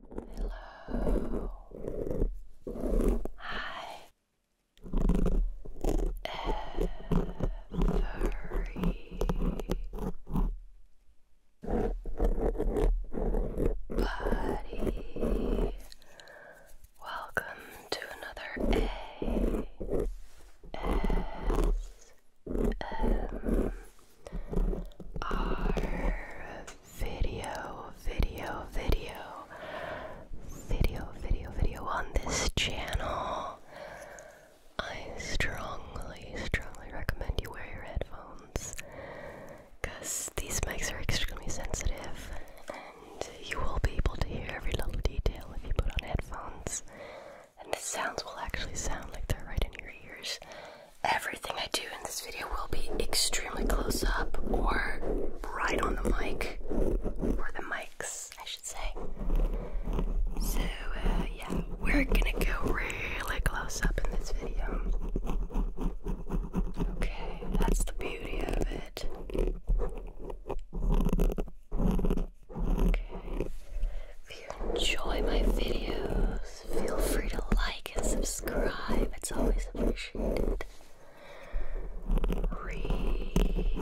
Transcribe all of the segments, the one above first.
Hello. Hi. Every Welcome to another A S M our video, video, video, video, video, video on this channel. I strongly, strongly recommend you wear your headphones because these mics are extremely sensitive and you will be able to hear every little detail if you put on headphones. And the sounds will actually sound like they're right in your ears. Everything I do in this video will be extremely close up or right on the mic, or the mics, I should say. So, uh, yeah, we're gonna go really close up in this video. Okay, that's the beauty of it. Okay, if you enjoy my videos, feel free to like and subscribe. It's always appreciated. Relax.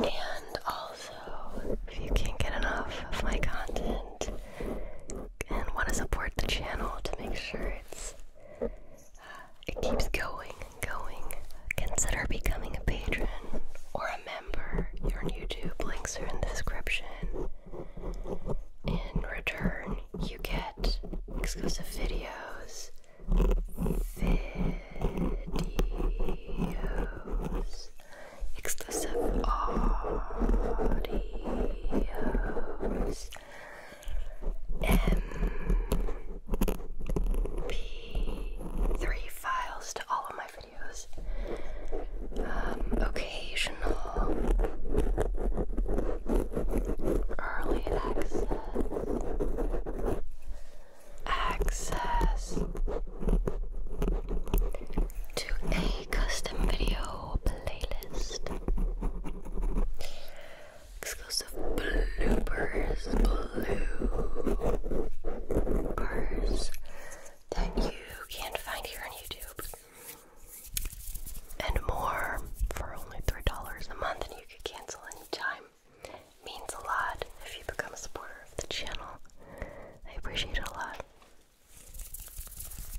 And also, if you can't get enough of my content and want to support the channel to make sure it's it keeps going and going. Consider becoming a patron or a member. Your YouTube links are in the description. In return, you get exclusive videos. Videos. Exclusive audios. MP3 files to all of my videos. Um, occasional early access. Access to a custom video playlist exclusive bloopers, bloopers that you can't find here on YouTube, and more for only three dollars a month, and you can cancel anytime. It means a lot if you become a supporter of the channel. I appreciate it a lot.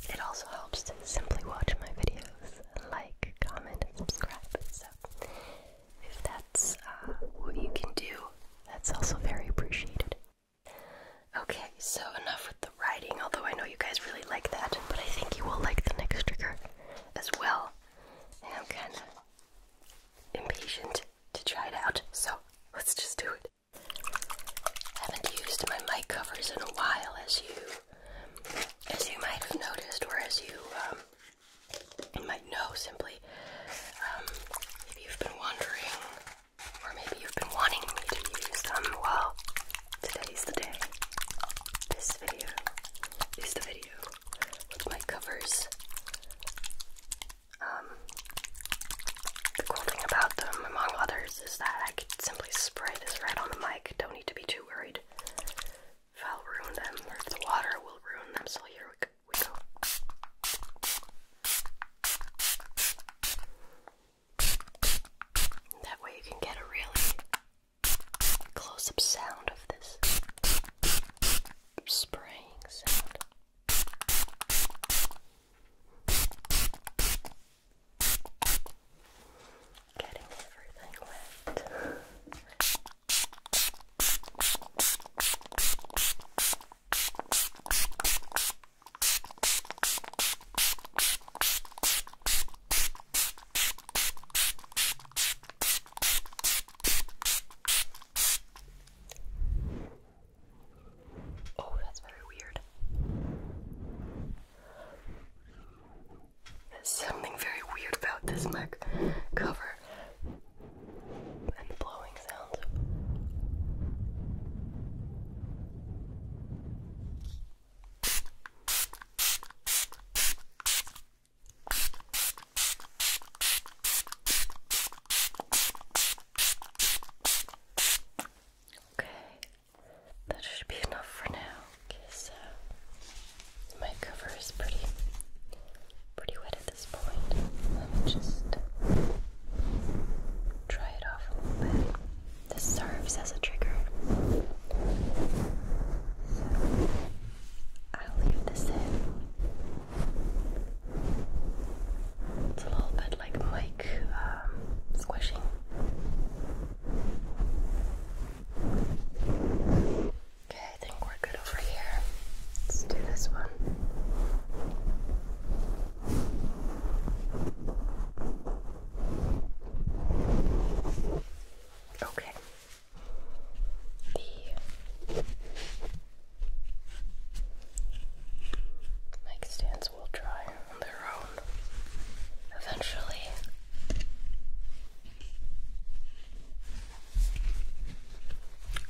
It also helps to simply watch my videos like, comment, and subscribe. So if that's uh, what you can do, that's also very appreciated. Okay, so enough with the writing, although I know you guys really like that, but I think you will like the next trigger as well. And I'm kind of impatient to try it out, so let's just do it. I haven't used my mic covers in a while, as you as you might have noticed, or as you um, might know simply, if um, you've been wondering, or maybe you've been wanting me to use them, well, today's the day. This video is the video with my covers. Um, the cool thing about them, among others, is that I can simply spray this right on the mic. Don't need to be too worried food will ruin them the water will ruin them. So here we go. We go. That way you can get a really close up sound of this spraying sound. Getting everything wet. Oh, that's very weird. There's something very weird about this mac cover and the blowing sounds. Okay, that should be enough for now. Okay, so my cover is pretty pretty wet at this point. Let me just dry it off a little bit. This serves as a trigger. So I'll leave this in. It's a little bit like mic um, squishing. Okay, I think we're good over here. Let's do this one. Okay. The mic stands will dry on their own eventually.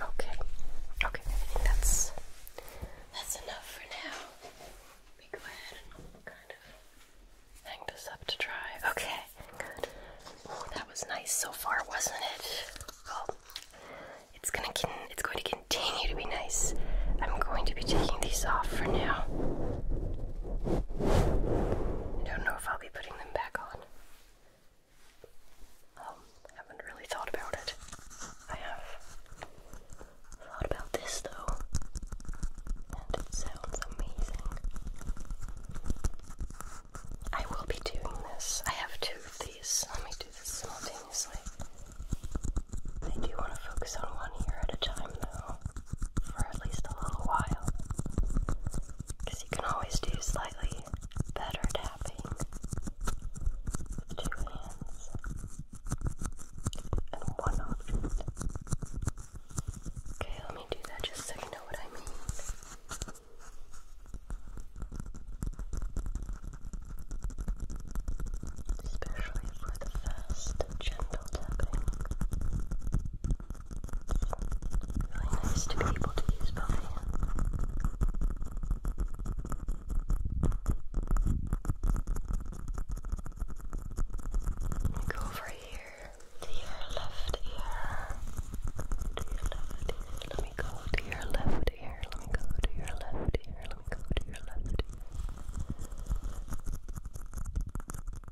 Okay, okay, I think that's that's enough for now. Let go ahead and kind of hang this up to dry. Okay, That was nice so far, wasn't it? it's gonna it's going to continue to be nice. I'm going to be taking these off for now. I don't know if I'll be putting them back on. Um, haven't really thought about it. I have thought about this though, and it sounds amazing. I will be doing this. I have two of these. Let me do this simultaneously. I do want to focus on one ear at a time though for at least a little while. Because you can always do slightly better tapping two hands and one object. Okay, let me do that just so you know what I mean. Especially for the fast gentle tapping. Really nice to be able to use both hands. Go over here to your left ear. To your left ear. Let me go to your left ear. Let me go to your left ear. Let me go to your left ear. I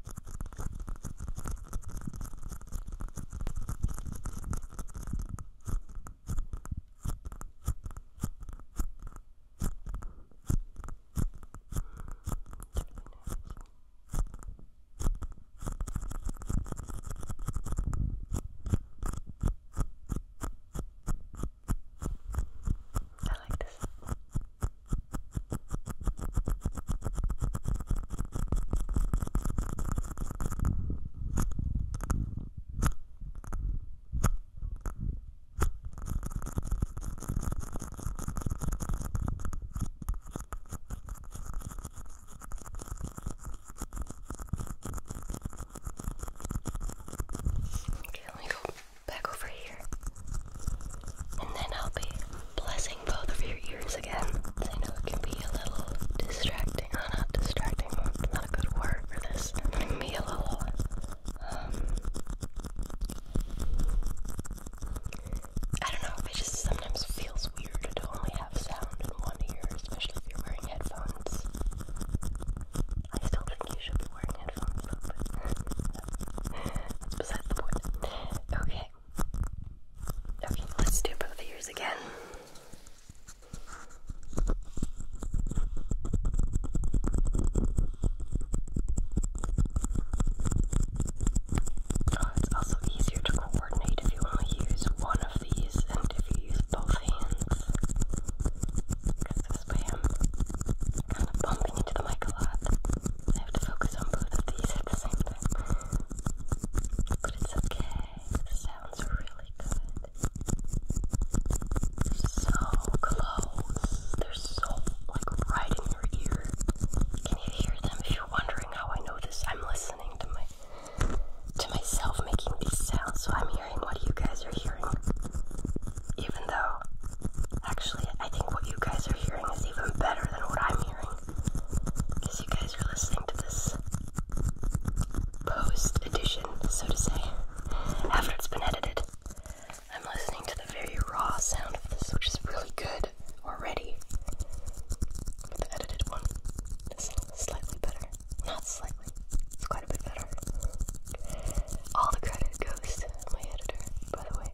like this. Okay, let me go back over here. And then I'll be blessing both of your ears again. I know it can be a little distracting. Uh, not distracting, not a good word for this. be a little, um, I don't know, it just sometimes feels weird to only have sound in one ear, especially if you're wearing headphones. I still think you should be wearing headphones, but that's beside the point. Okay. Okay, let's do both ears again. Oh, it's also easier to coordinate if you only use one of these and if you use both hands. I'm bumping into the mic a lot. I have to focus on both of these at the same time. But it's okay. It sounds really good. So close. They're so like right in your ear. Can you hear them? If you're wondering how I know this, I'm listening to my to myself making these sounds, so I'm hearing what you guys are hearing. Even though, actually, I think what you guys are hearing is even better than what I'm hearing. Because you guys are listening to this post edition, so to say, after it's been edited. I'm listening to the very raw sound of this, which is really good already. But the edited one is slightly better. Not slightly, it's quite a bit better. All the credit goes to my editor, by the way. Uh,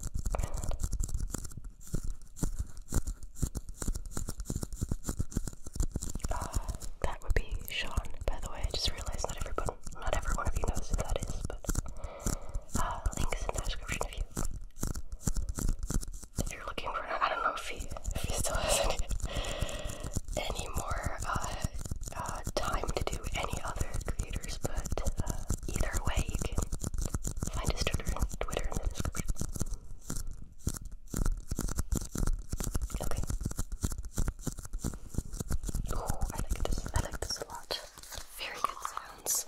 that would be Sean, by the way. I just realized not everyone, not every one of you knows who that is, but uh, in the description if you, if you're looking for. I don't know if he, if he still has any, any uh, uh, time to do any other creators, but uh, either way, you can find his Twitter, in the description. Okay. Oh, I like this. I like this a lot. Very good sounds.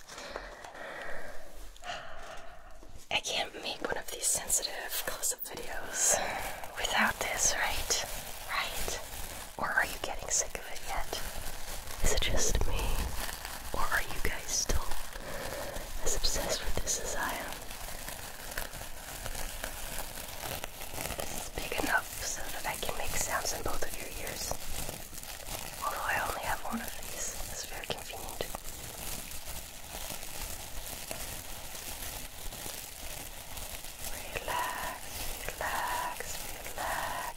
I can't make one of these sensitive close-up videos without this, right? Right? Or are you getting sick of it yet? Is it just me? Or are you guys still as obsessed with this as I am? It's big enough so that I can make sounds in both of your ears. Although I only have one of these, it's very convenient. Relax, relax, relax.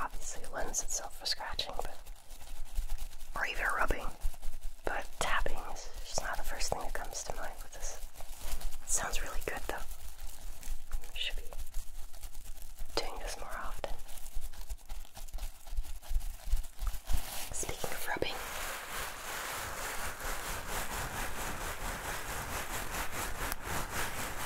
obviously lends itself for scratching, but or even rubbing. But tapping is just not the first thing that comes to mind with this. It sounds really good though. Should be doing this more often. Speaking of rubbing.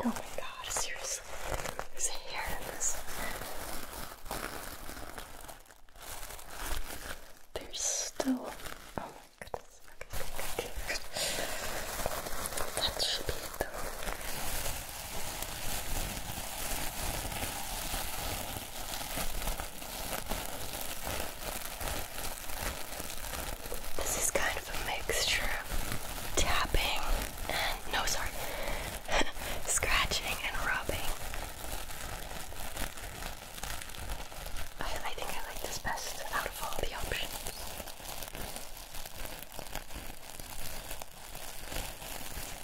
Oh my god, seriously. There's a hair in this. There's still. Oh my goodness. Okay, okay, okay. That should be it this is kind of a mixture of tapping and no, sorry, scratching and rubbing. I, think I like this best out of all the options.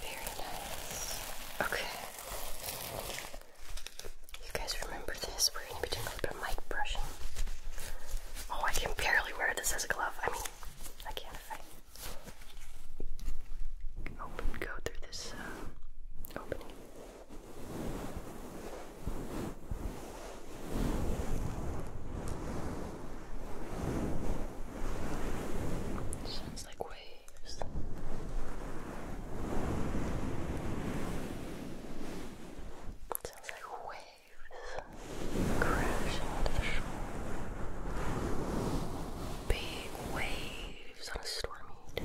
Very nice. Okay. You guys remember this? We're gonna be doing a little bit of mic brushing. Oh, I can barely wear this as a glove. I mean, I can't if I open, go through this uh, opening. Sounds like waves. It sounds like waves crashing onto the shore. Big waves on a stormy day. It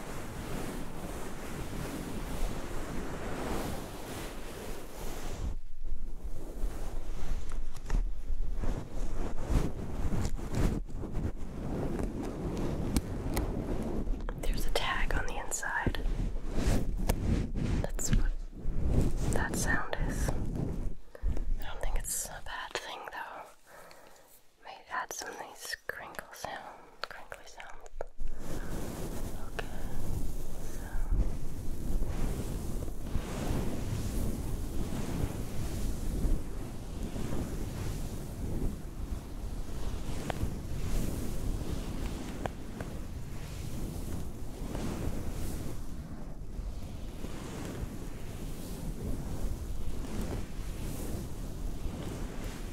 There's a tag on the inside. That's what that sound is. I don't think it's a bad thing though. Wait, add some nice crinkle sound, crinkly sound. Okay,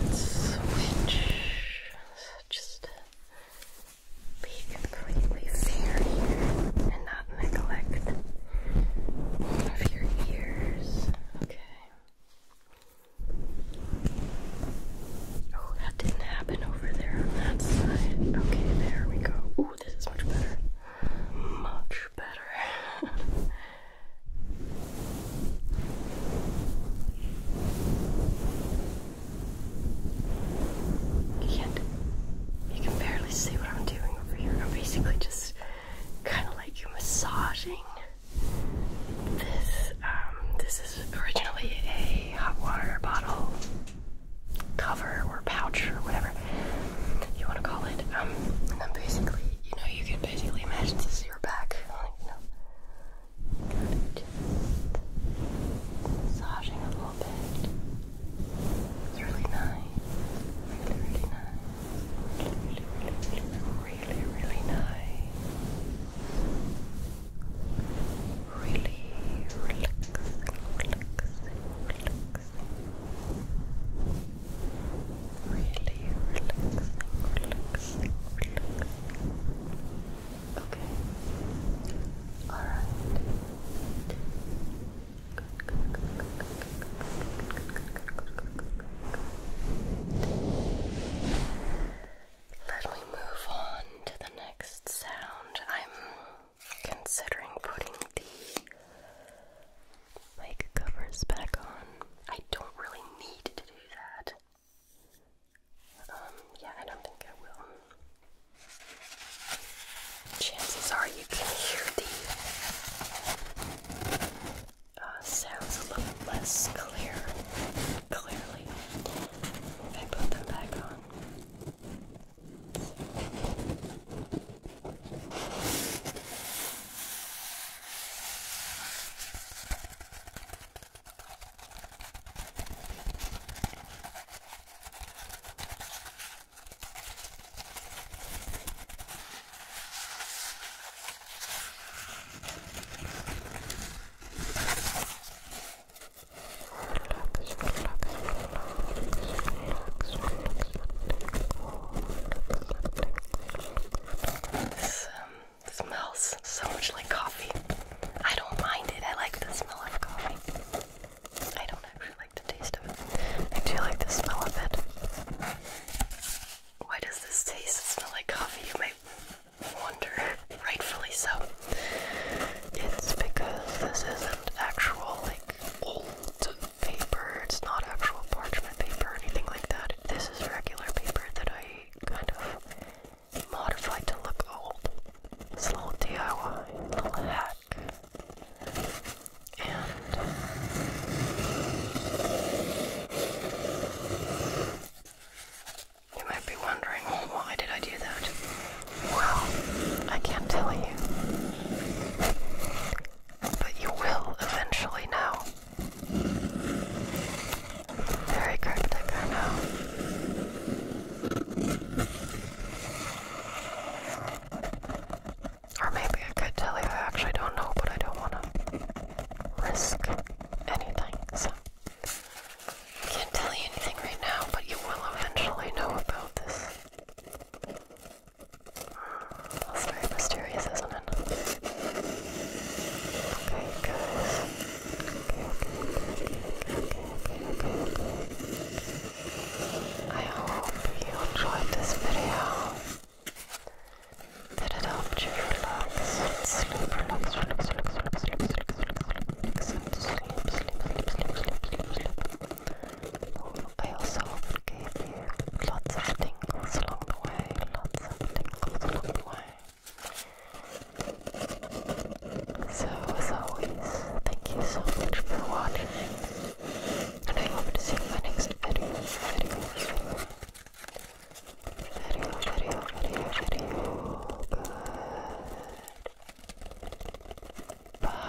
Let's switch. So just be completely fair here and not neglect one of your ears. Okay. Oh, that didn't happen over there on that side. Okay, there we go. Ooh, this is much better. Much better. Can't, you can barely see what I'm doing over here. I'm basically just kind of like massaging this. Um, this is originally a hot water bottle cover or pouch or whatever you want to call it. Um, and then basically, you know, you can basically imagine this is your back massaging a little bit. It's really nice. Really, really nice. Really, really, really, really, nice. Really relaxing, relaxing, relaxing. Really relaxing, relaxing. Okay. All right. Let me move on to the next sound. I'm considering putting the mic covers back on. I don't really need to do that. Um, yeah, I don't think I will. Chances are you can hear the uh, sounds a little less clear, clearly. I put them back on. This um, smells so much like coffee. I don't mind it. I like the smell of coffee. I don't actually like the taste of it. I do like the smell of it. Why does this taste and smell like coffee? You may wonder. Rightfully so. It's because this isn't actual like old paper. It's not actual parchment paper or anything like that. This is regular paper that I kind of modified to look old. It's a little DIY, a little hack. And you might be wondering, why did I do that? Well, I can't tell you. But you will eventually know. Very cryptic, I know. Or maybe I could tell you, I actually don't know, but I don't want to risk anything, so. I can't tell you anything right now, but you will eventually know about this. That's very mysterious, isn't it? Okay, guys. I hope you enjoyed this video. Did it help you relax sleep, relax, relax, relax, relax, relax, relax, relax, relax, and sleep, sleep, sleep, sleep, sleep, sleep, sleep. I also hope it gave you lots of tingles along the way, lots of tingles along the way. So, as always, thank you so much for watching, and I hope to see you in my next video. Video, video, video, video, video. Good.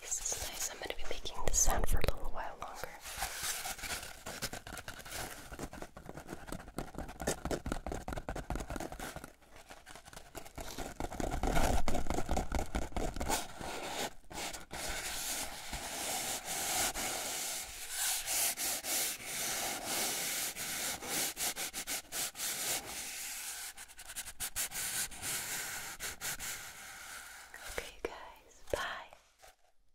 This is I'm going to be making this sound for a little while longer. Okay, you guys, bye.